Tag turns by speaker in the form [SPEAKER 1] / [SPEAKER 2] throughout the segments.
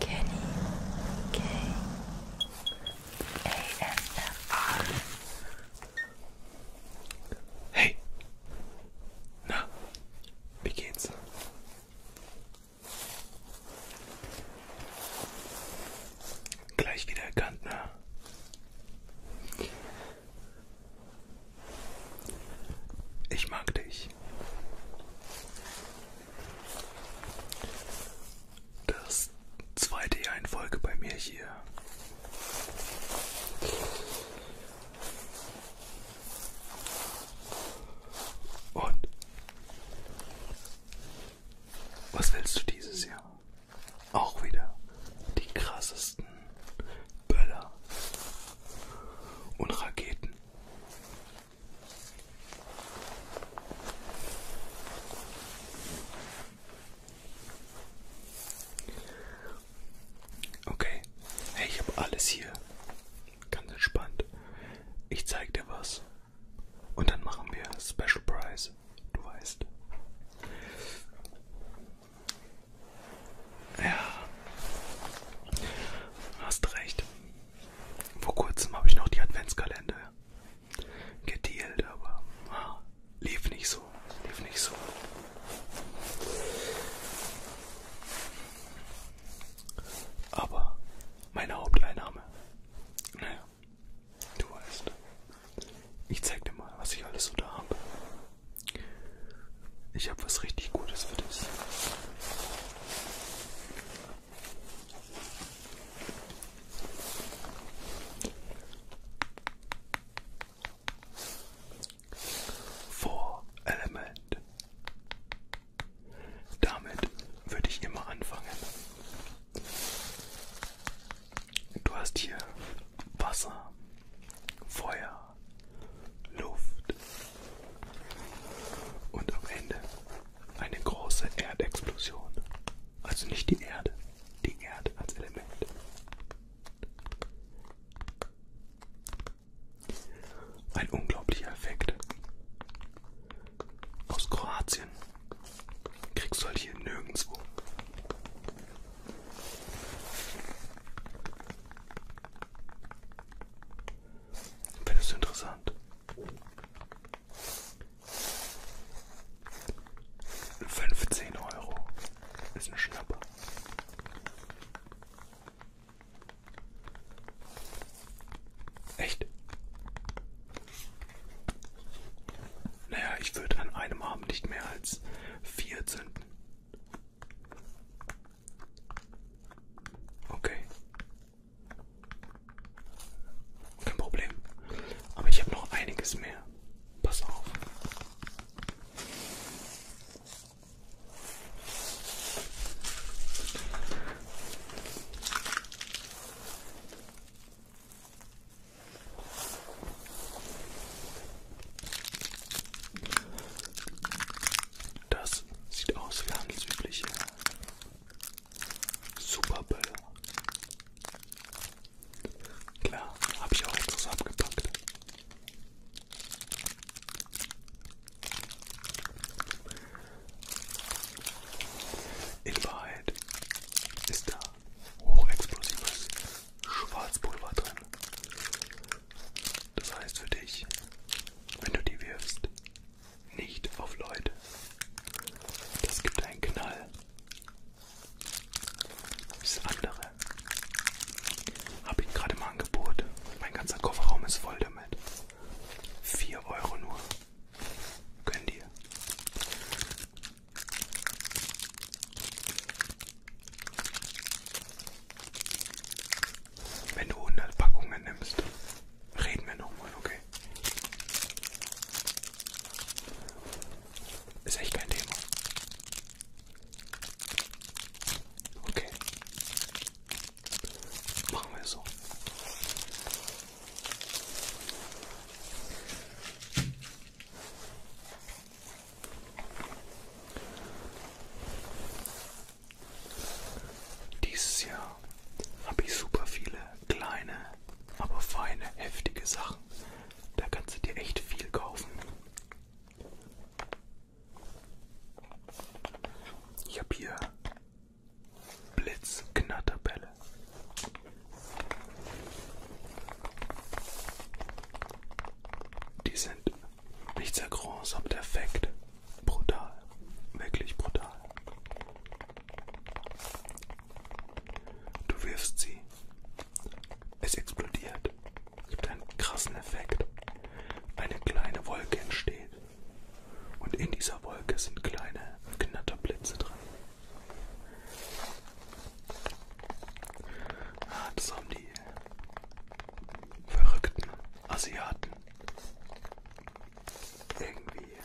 [SPEAKER 1] Kenny K ASMR. Hey, na, wie geht's? Gleich wieder erkannt, ne? Ich mag dich. Das zweite Jahr in Folge bei mir hier. Und was willst du dieses Jahr? Auch wieder die krassesten Böller und Raketen Okay, hey, ich habe alles hier. Ganz entspannt. Ich zeig dir was. Und dann machen wir Special Price. Du weißt. Ja. Hast recht. Vor kurzem habe ich noch die Adventskalender gedealt, aber ah, lief nicht so, lief nicht so. Aber meine Haupteinnahme, naja, du weißt, ich zeig dir mal, was ich alles so da habe. Ich habe was richtig Gutes für dich. Vor Element. Damit würde ich immer anfangen. Du hast hier Wasser, Feuer, Luft, und am Ende eine große Erdexplosion. Also nicht die Erde, die Erde als Element. Ein unglaublicher Effekt. Aus Kroatien kriegst du halt hier nirgendwo. Findest du interessant? Fünfzehn Euro ist ein Schnapper. Echt? Naja, ich würde an einem Abend nicht mehr als vier zünden. Okay. Kein Problem. Aber ich habe noch einiges mehr. Pass auf. Das sieht aus wie handelsübliche Superböller. Klar, habe ich auch etwas abgepackt. In Wahrheit ist da hochexplosives Schwarzpulver drin. Das heißt für dich, wenn du die wirfst, nicht auf Leute. Das gibt einen Knall. Das andere habe ich gerade im Angebot. Mein ganzer Kofferraum ist voll damit. 4 Euro nur. Gönn dir. Wenn du 100 Packungen nimmst, reden wir nochmal, okay? Ist echt kein Thema. Okay. Machen wir es so. Dieses Jahr habe ich super viele kleine, aber feine, heftige Sachen. Da kannst du dir echt viel kaufen. Ich habe hier Blitzknatterbälle. Die sind nicht sehr groß, aber perfekt Brutal. Wirklich brutal. Du wirfst sie. Es explodiert. Es gibt einen krassen Effekt. Eine kleine Wolke entsteht. Und in dieser Wolke sind kleine Knatterblitze drin. Ah, das haben die verrückten Asiaten irgendwie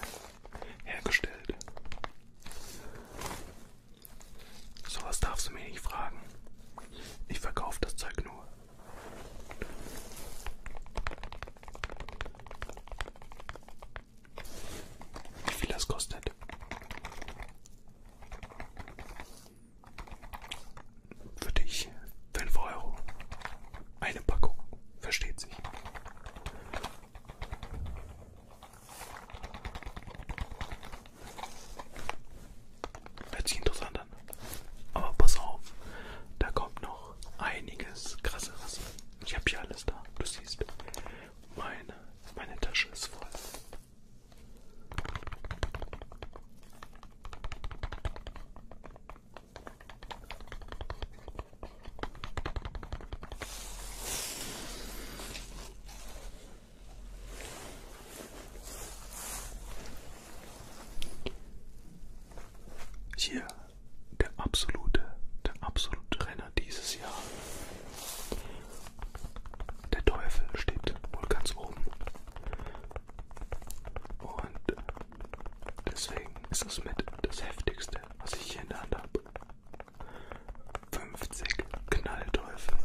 [SPEAKER 1] hergestellt. Sowas darfst du mir nicht fragen. Ich verkaufe das Zeug nur. Wie viel das kostet? Für dich 5 Euro. Eine Packung. Versteht sich. Hört sich interessant an. Aber pass auf, da kommt noch einiges krasseres. Ich habe hier alles da. Du siehst, meine, meine Tasche ist voll. Hier der absolute, der absolute Renner dieses Jahr. Der Teufel steht wohl ganz oben. Und deswegen ist das mit das heftigste, was ich hier in der Hand habe. 50 Knallteufel.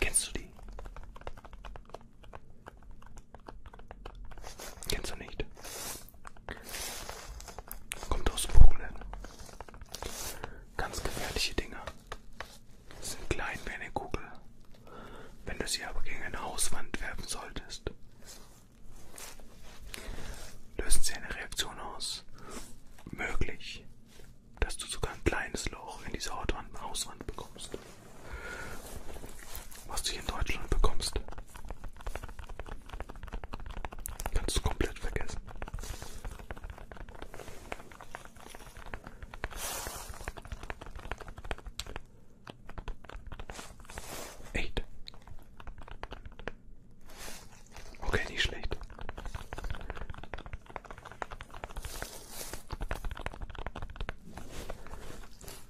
[SPEAKER 1] Kennst du die? Kennst du nicht? Kommt aus Polen. Ganz gefährliche Dinger sind klein wie eine Kugel. Wenn du sie aber gegen eine Hauswand werfen solltest, lösen sie eine Reaktion aus. Möglich, dass du sogar ein kleines Loch in dieser Hauswand bekommst. Was du hier in Deutschland bekommst, kannst du komplett vergessen. Eight. Okay, nicht schlecht.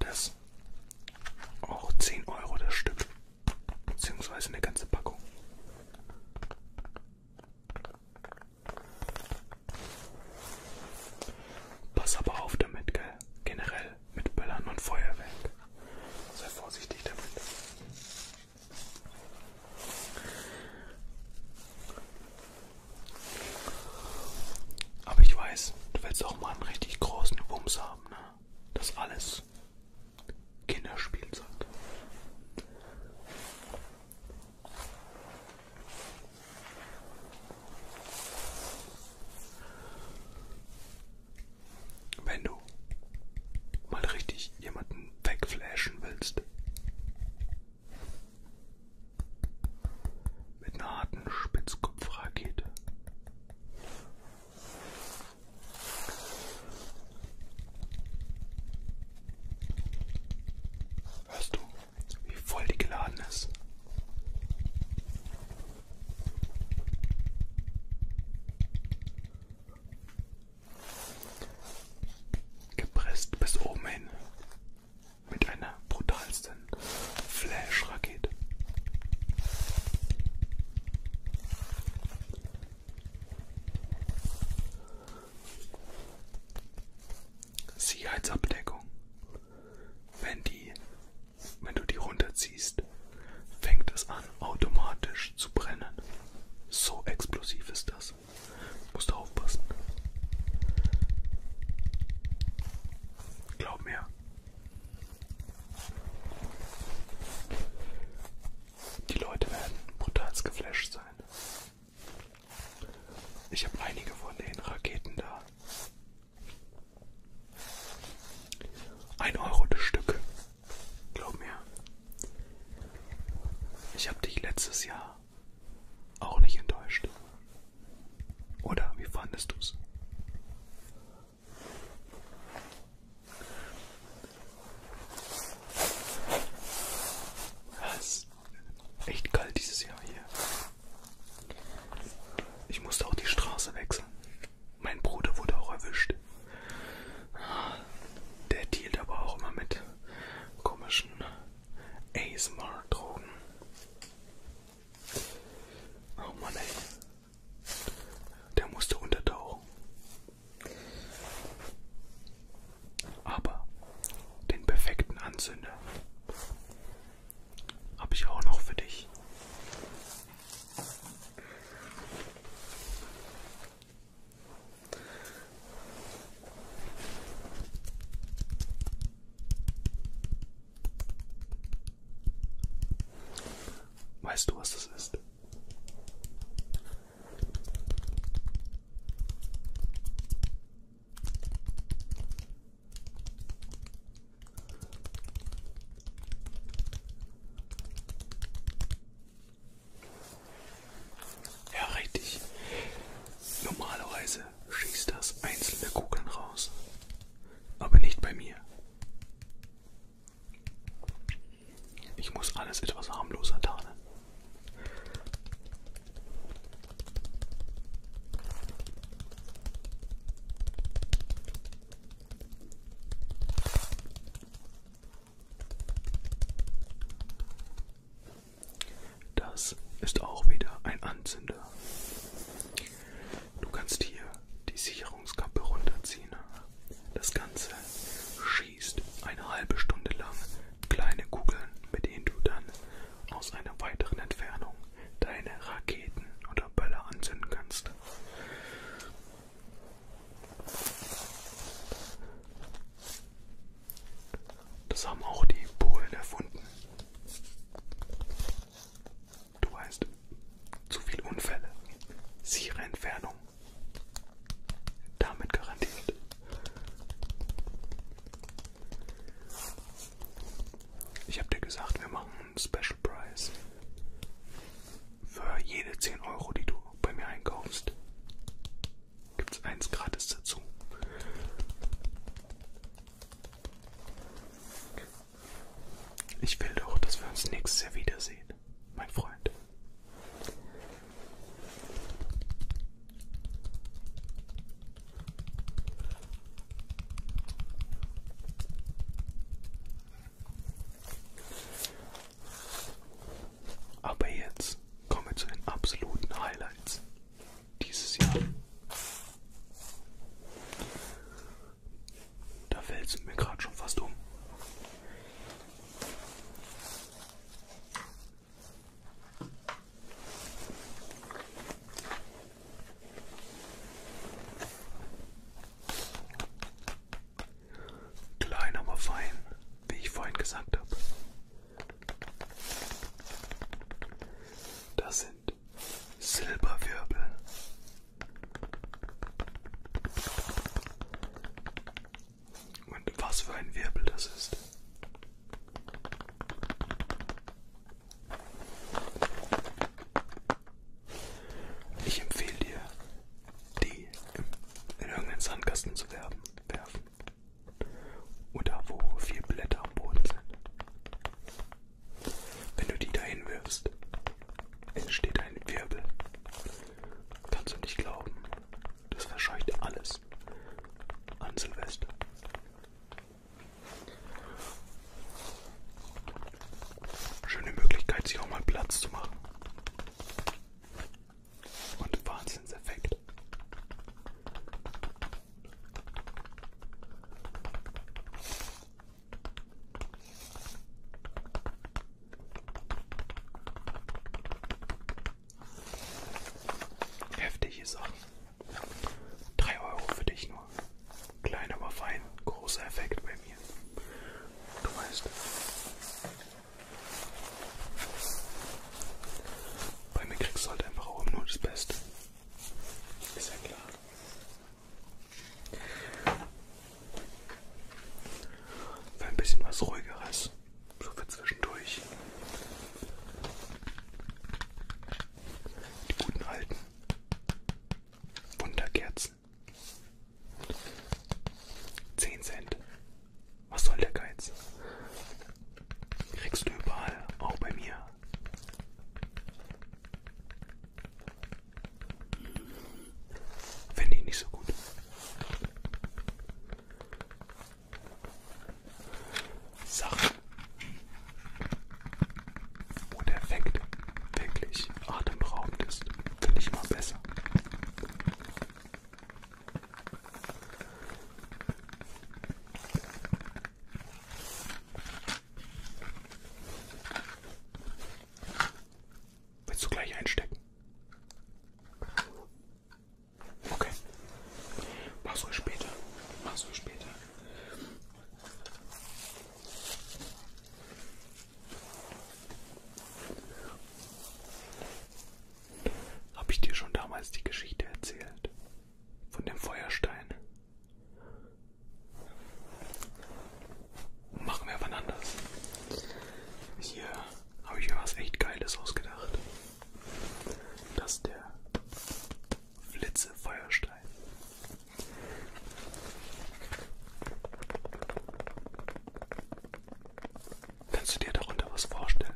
[SPEAKER 1] Das auch zehn Euro das Stück, beziehungsweise eine ganze Packung. Pass aber auf damit, gell? Generell mit Böllern und Feuerwerk. Sei vorsichtig damit. Aber ich weiß, du willst auch mal einen richtig großen Wumms haben, ne? Das alles Kinderspielzeug. Wenn du mal richtig jemanden wegflashen willst, mit einer harten Spitzkopfrakete. Hörst du, wie voll die geladen ist? Gepresst bis oben hin mit einer brutalsten Flash-Rakete. Sicherheitsabdeckung. Wenn die, wenn du die runterziehst, fängt es an automatisch zu brennen. So explosiv ist das. Musst du aufpassen. Glaub mir. Die Leute werden brutal geflasht sein. Ich habe einige von den Raketen da. Ein Euro das Stück. Glaub mir. Ich habe dich letztes Jahr auch nicht enttäuscht. Oder wie fandest du's? Es ist echt kalt dieses Jahr hier. Ich musste auch die Straße wechseln. Mein Bruder wurde auch erwischt. Der dealt aber auch immer mit komischen ASMR-Drogen. Oh Mann, ey. Der musste untertauchen. Aber den perfekten Anzünder habe ich auch noch für dich. Weißt du, was das ist? Ja, richtig. Normalerweise schießt das einzelne Kugeln raus, aber nicht bei mir. Ich muss alles etwas harmloser tarnen. Das ist auch wieder ein Anzünder. Du kannst hier die Sicherungskappe runterziehen. Das Ganze schießt eine halbe Stunde lang kleine Kugeln, mit denen du dann aus einer weiteren Entfernung deine Raketen oder Böller anzünden kannst. Das haben auch die Polen erfunden. Du weißt, zu viele Unfälle, sichere Entfernung damit garantiert. Ich habe dir gesagt, wir machen einen Special Price. Für jede 10 Euro, die du bei mir einkaufst, gibt es eins gratis dazu. Ich will doch, dass wir uns nächstes Jahr wiedersehen mein Freund. Aber jetzt kommen wir zu den absoluten Highlights dieses Jahr. Da fällt es mir gerade schon fast um. Klein, aber fein, wie ich vorhin gesagt habe. Das sind Silberwirbel. Und was für ein Wirbel das ist. Ich empfehle dir, die in irgendeinen Sandkasten zu werfen. Oder wo vier Blätter am Boden sind. Wenn du die dahin wirfst, entsteht ein Wirbel. Kannst du nicht glauben. Das verscheucht alles an Silvester. Schöne Möglichkeit, sich auch mal Platz zu machen. Und Wahnsinnseffekt. Heftige Sachen. 3 Euro für dich nur. Klein, aber fein. Großer Effekt bei mir. Du weißt. Bei mir kriegst du halt einfach auch nur das Beste. Ist ja klar. Für ein bisschen was ruhigeres. So für zwischendurch. Die guten alten Wunderkerzen. 10 Cent. Was soll der Geiz? Kriegst du überall, auch bei mir. Finde ich nicht so gut. Sachen. Wo der Effekt wirklich atemberaubend ist, finde ich immer besser. Willst du gleich einstecken? Okay. Mach's ruhig später. Mach's ruhig später. Habe ich dir schon damals die Geschichte erzählt? Von dem Feuerstein? machen wir wann anders. Hier habe ich mir was echt Geiles ausgedacht. Das ist der Flitzefeuerstein. Kannst du dir darunter was vorstellen?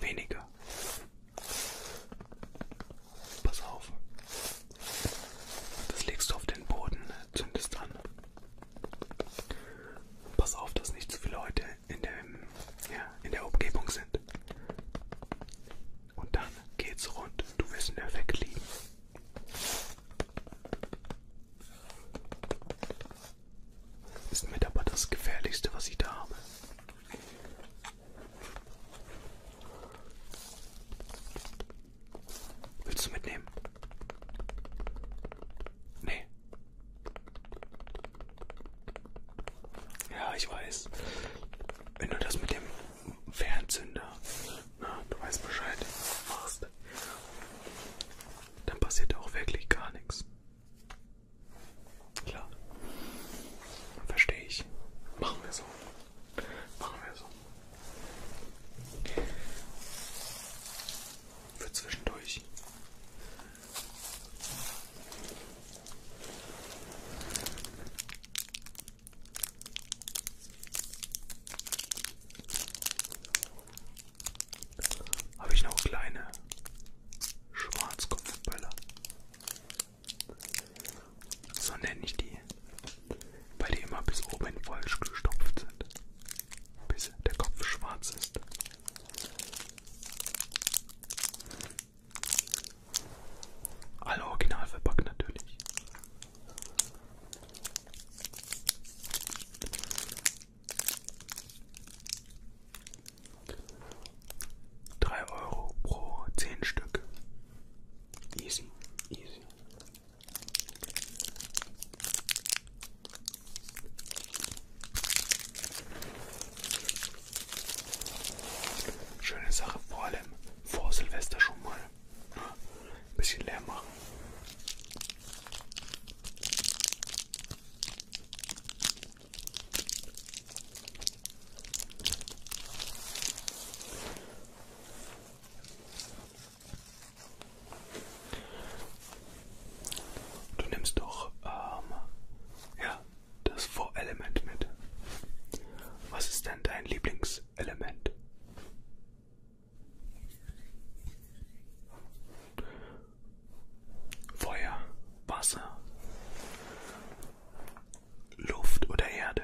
[SPEAKER 1] Weniger. Pass auf. Das legst du auf den Boden, äh, zündest an. Pass auf, dass nicht zu viele Leute in, dem, ja, in der Umgebung sind. Und dann geht's rund. Du wirst in der Weg liegen. Ist mit aber das gefährlichste, was ich da habe. Willst du mitnehmen? Nee. Ja, ich weiß. Wenn du das mit dem Fernzünder, na, du weißt Bescheid, machst dann passiert auch wirklich gar nichts. Klar. Verstehe ich. Machen wir so. Machen wir so. Für zwischendurch habe ich noch kleine Schwarzkopfböller. So nenne ich die, weil die immer bis oben voll gestopft sind, bis der Kopf schwarz ist. Alle original verpackt natürlich. 3 Euro pro 10 Stück. Easy, easy. Schöne Sache, vor allem vor Silvester schon mal ne, ein bisschen leer machen. Du nimmst doch ähm, ja, das Vorelement mit. Was ist denn dein Lieblingselement? Feuer, Wasser, Luft oder Erde.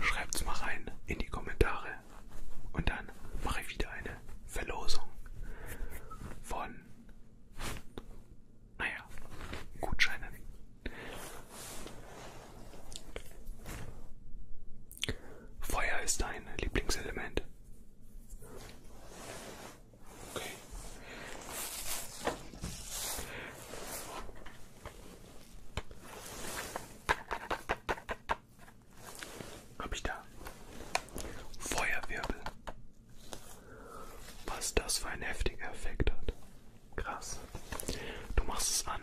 [SPEAKER 1] Schreibt's mal rein in die Kommentare und dann mache ich wieder eine Verlosung von naja, Gutscheinen. Feuer ist dein Lieblingselement. Okay. Hab ich da? Feuerwirbel. Was das für ein heftiger Effekt hat. Krass. Du machst es an.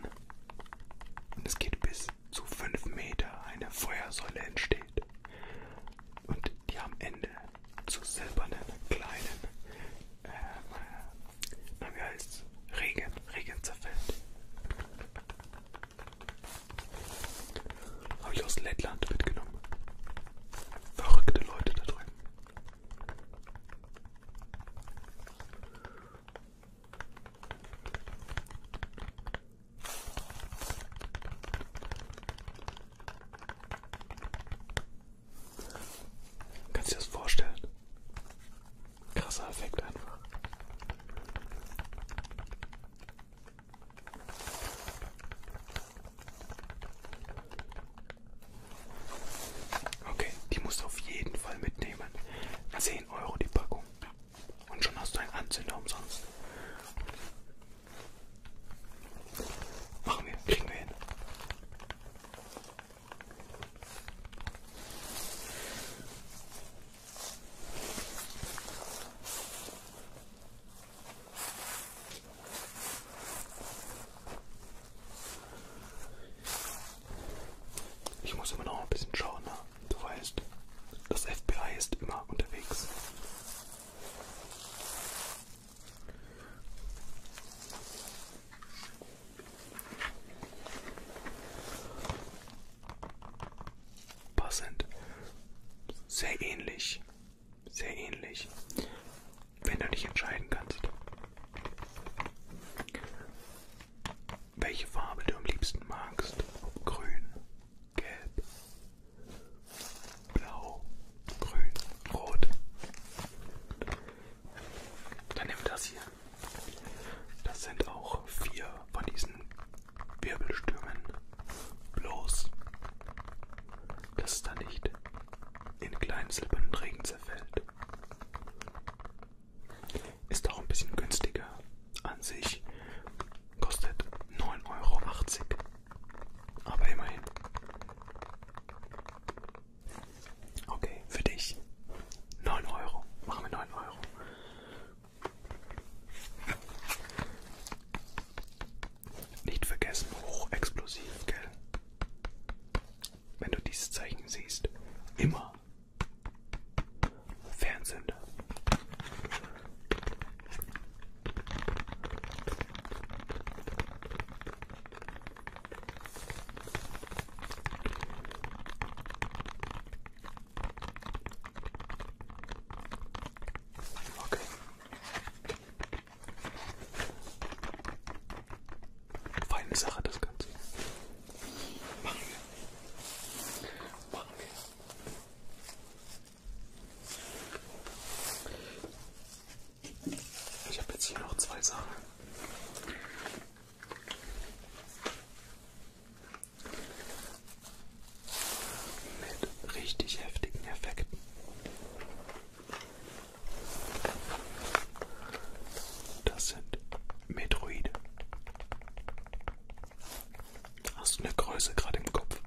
[SPEAKER 1] Und es geht bis zu 5 Meter. Eine Feuersäule entsteht. Und die am Ende zu silbernen, kleinen, ähm, na wie heißt Regen, Regen zerfällt. Habe ich aus Lettland mitgenommen. Verrückte Leute da drüben. Kannst du dir das vorstellen? Krasser Effekt einfach. Okay, die musst du auf jeden Fall mitnehmen. 10 Euro die Packung. Und schon hast du einen Anzünder umsonst. Machen wir, kriegen wir hin. Ich muss immer noch ein bisschen schauen, ne? Du weißt, das FBI ist immer unterwegs. Passend. Sehr ähnlich. Sehr ähnlich. Wenn du dich entscheiden kannst welche Farbe du am liebsten magst. Grün, gelb, blau, grün, rot. Dann nimm das hier. Das sind auch vier von diesen Wirbelstürmen. Bloß, dass es da nicht in kleinen silbernen Regen zerfällt. Ist auch ein bisschen günstiger an sich. Kostet 9,80 Euro. Aber immerhin. Okay, für dich. 9 Euro. Machen wir 9 Euro. Nicht vergessen, hochexplosiv, gell? wenn du dieses Zeichen siehst, immer Fernsender. Okay. Feine Sache, das Ganze. Machen wir. Machen wir. Ich habe jetzt hier noch zwei Sachen. Mit richtig heftigen Effekten. Das sind Metroid. Hast du eine Größe gerade im Kopf?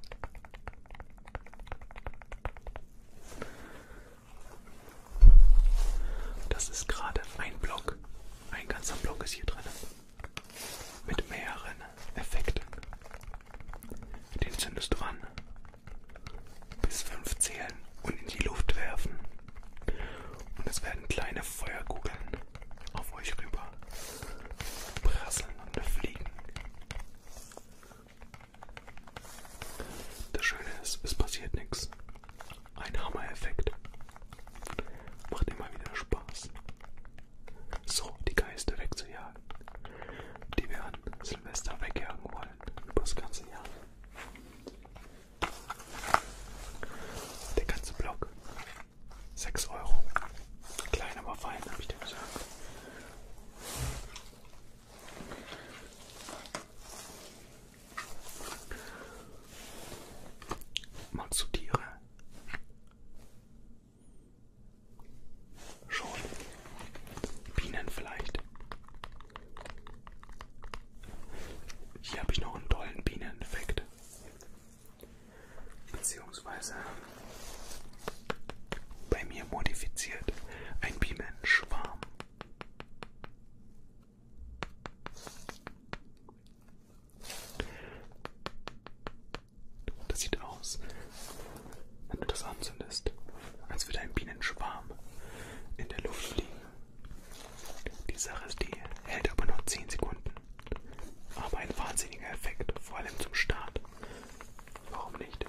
[SPEAKER 1] Das ist gerade ein Block. Ein ganzer Block ist hier drin. Mit mehreren Effekten. Den zündest du an. Bis fünf zählen und in die Luft werfen. Und es werden kleine Feuerkugeln auf euch rüber prasseln und fliegen. Das Schöne ist, es passiert nichts. Ein Hammer-Effekt. Macht immer wieder Spaß. So, die Geister wegzujagen, die wir an Silvester wegjagen wollen, über das ganze Jahr. Der ganze Block. 6 Euro. Klein, aber fein, habe ich dir gesagt. Mal zu Tiere. Schon. Bienen vielleicht. Hier habe ich noch einen tollen Bieneneffekt. Beziehungsweise bei mir modifiziert ein Bienenschwarm. Das sieht aus, wenn du das anzündest, als würde ein Bienenschwarm in der Luft fliegen. Die Sache ist die, hält aber nur 10 Sekunden. Aber ein wahnsinniger Effekt, vor allem zum Start. Warum nicht?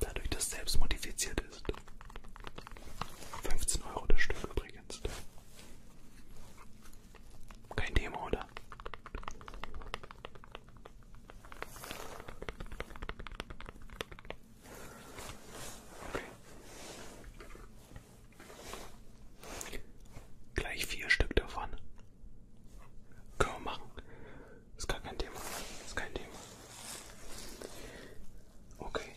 [SPEAKER 1] Dadurch, dass selbst modifiziert ist. 15 Euro das Stück übrigens. Kein Thema, oder? Gleich vier Stück davon. Können wir machen. Ist gar kein Thema. Ist kein Thema. Okay.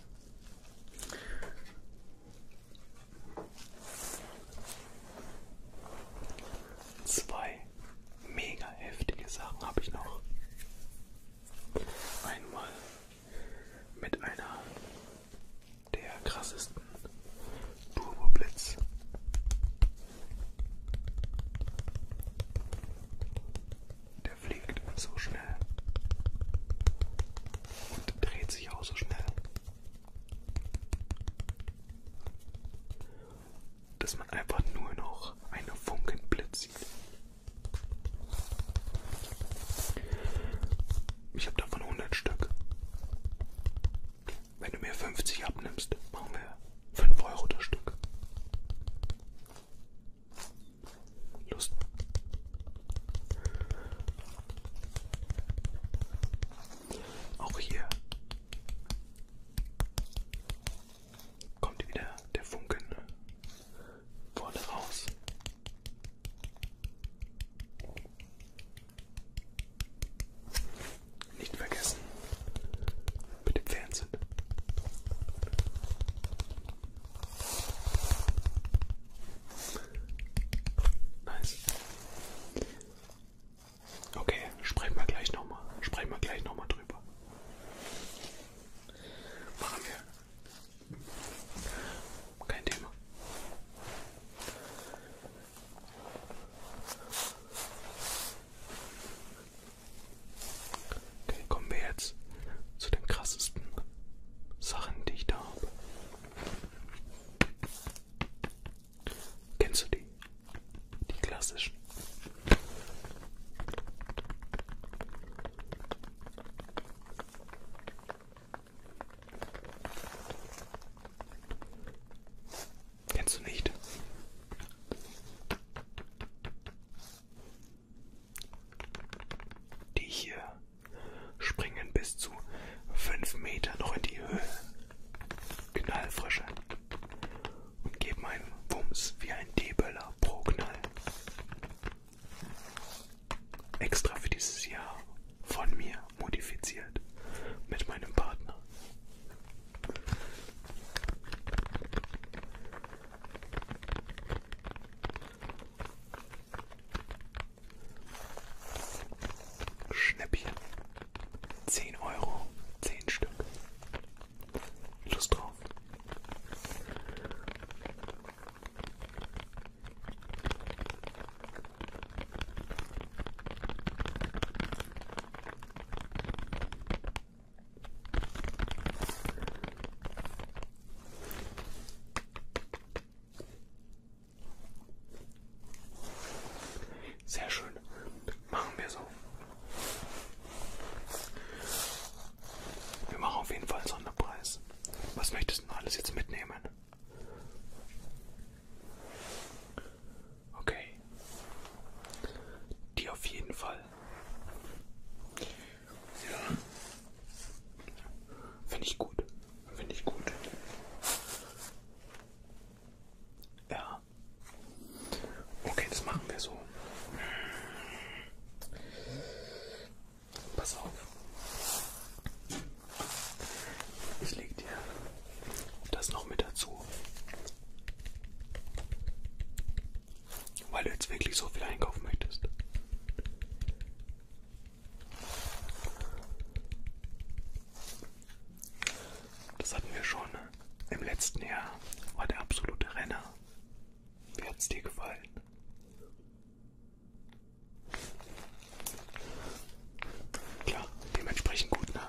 [SPEAKER 1] Zwei mega heftige Sachen habe ich noch. Einmal mit einer der krassesten Turbo Blitz. Der fliegt so schnell und dreht sich auch so schnell dass man einfach nur noch einen Funkenblitz sieht. Ich habe davon 100 Stück. Wenn du mir 50 abnimmst, machen wir 5 Euro das Stück. Lust. Auch hier kommt wieder der Funken vorne raus. Nicht vergessen mit dem Fernsehen. Nice. Okay, sprechen wir gleich nochmal. Sprechen wir gleich nochmal drüber. Machen wir. Kein Thema. Okay, kommen wir jetzt zu den krassesten Sachen, die ich da habe. Kennst du die? Die klassischen. Kennst du nicht? Die hier springen bis zu fünf Meter noch in die Höhe. Knallfrische und gebe meinen Wumms wie ein Debeler pro Knall. Extra für dieses Jahr von mir modifiziert mit meinem Partner. Schnäppchen. 10 Euro, 10 Stück. Lust drauf. Sehr schön. Machen wir so. Wir machen auf jeden Fall einen Sonderpreis. Was möchtest du denn alles jetzt mitnehmen? Okay. Die auf jeden Fall. Ja. Finde ich gut. Finde ich gut. Ja. Okay, das machen wir so. Pass auf. Ich lege dir das noch mit dazu. Weil du jetzt wirklich so viel einkaufen möchtest. Das hatten wir schon. Ne? im letzten Jahr war der absolute Renner. Wie hat's dir gefallen? Klar, dementsprechend gut, ne?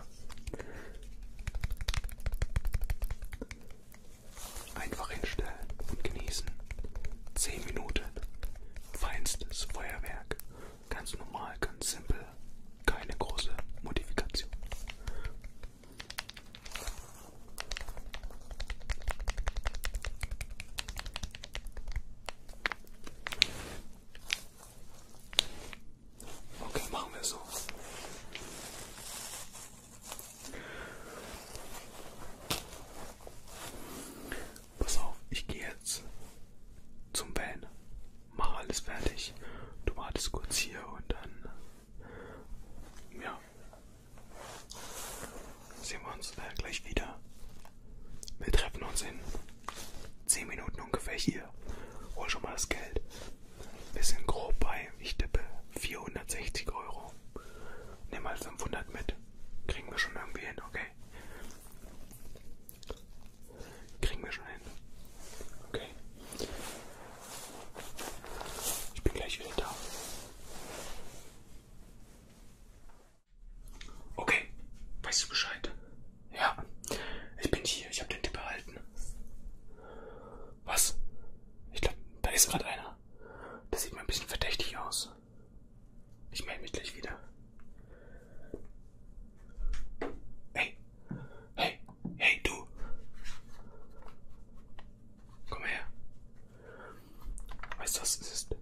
[SPEAKER 1] Einfach hinstellen und genießen. 10 Minuten. Feinstes Feuerwerk. Ganz normal, ganz simpel. Keine große Modifikation. Okay, machen wir so. Pass auf, ich gehe jetzt zum Van. Mach alles fertig. Du wartest kurz hier und dann ja, sehen wir uns äh, gleich wieder. Wir treffen uns in 10 Minuten ungefähr hier. Hol schon mal das Geld. Wir sind grob bei, ich tippe, 460 Euro. Nimm mal 500 mit. Kriegen wir schon irgendwie hin, okay? Kriegen wir schon hin. Okay. Ich bin gleich wieder da. Okay, weißt du Bescheid? Ja, ich bin hier. Ich habe den Tipp erhalten. Was? Ich glaube, da ist gerade einer. Das sieht mir ein bisschen verdächtig aus. Ich melde mich gleich wieder. Ey, Hey, hey du. Komm her. Weißt du, was es ist?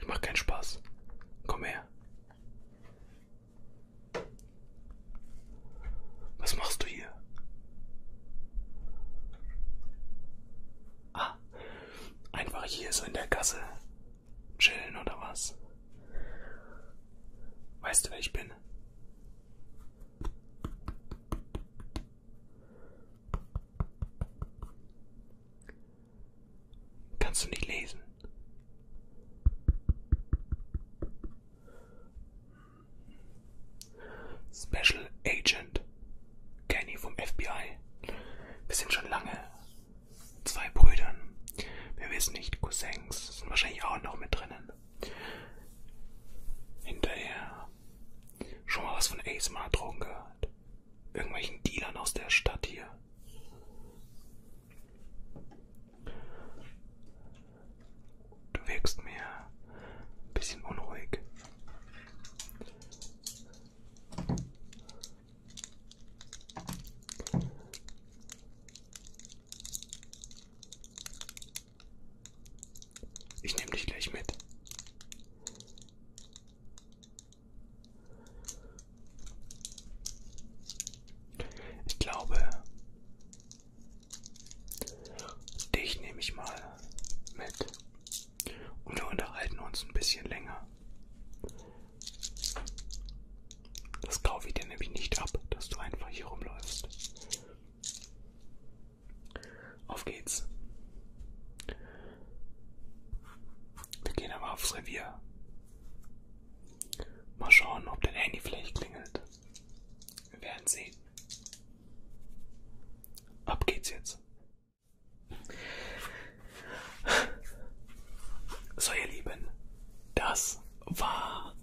[SPEAKER 1] Ich mach keinen Spaß. Komm her. Was machst du hier? Ah, einfach hier so in der Gasse Chillen oder was? Weißt du, wer ich bin? Kannst du nicht lesen? Special Agent Kenny vom FBI. Wir sind schon lange zwei Brüdern. Wir wissen nicht, Cousins sind wahrscheinlich auch noch mit drinnen. Hinterher schon mal was von ASMR-Drogen gehört. Irgendwelchen Dealern aus der Stadt hier. Du wirkst mir ein bisschen unruhig. Ich nehme dich gleich mit. Ich glaube, dich nehme ich mal mit und wir unterhalten uns ein bisschen länger. Das kaufe ich dir nämlich nicht ab, dass du einfach hier rumläufst. Auf geht's. Wir gehen aber aufs Revier. Mal schauen, ob dein Handy vielleicht klingelt. Wir werden sehen. Ab geht's jetzt. So ihr Lieben, das war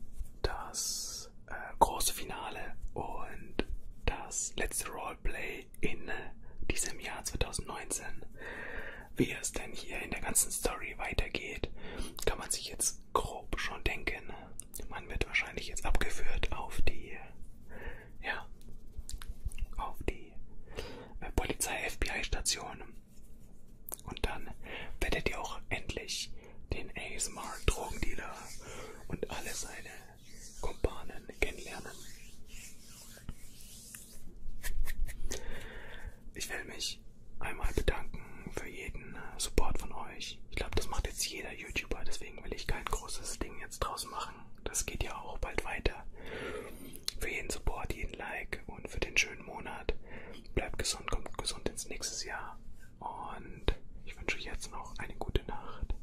[SPEAKER 1] das äh, große Finale und das letzte Roleplay in diesem Jahr 2019. Wie es denn hier in der ganzen Story weitergeht, kann man sich jetzt grob schon denken. Man wird wahrscheinlich jetzt abgeführt auf die, ja, auf die äh, Polizei-FBI-Station und dann werdet ihr auch endlich den ASMR-Drogendealer und alle seine Kumpanen kennenlernen. Ich will mich einmal bedanken für jeden Support von euch. Ich glaube, das macht jetzt jeder YouTuber, deswegen will ich kein großes Ding jetzt draus machen. Das geht ja auch bald weiter für jeden Support, jeden Like und für den schönen Monat. Bleibt gesund, kommt gesund ins nächste Jahr. Und ich wünsche euch jetzt noch eine gute Nacht.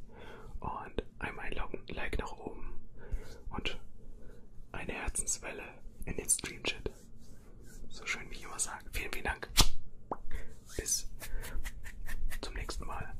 [SPEAKER 1] Und einmal ein Like nach oben. Und eine Herzenswelle in den Stream-Chat. So schön wie ich immer sage. Vielen, vielen Dank. Bis zum nächsten Mal.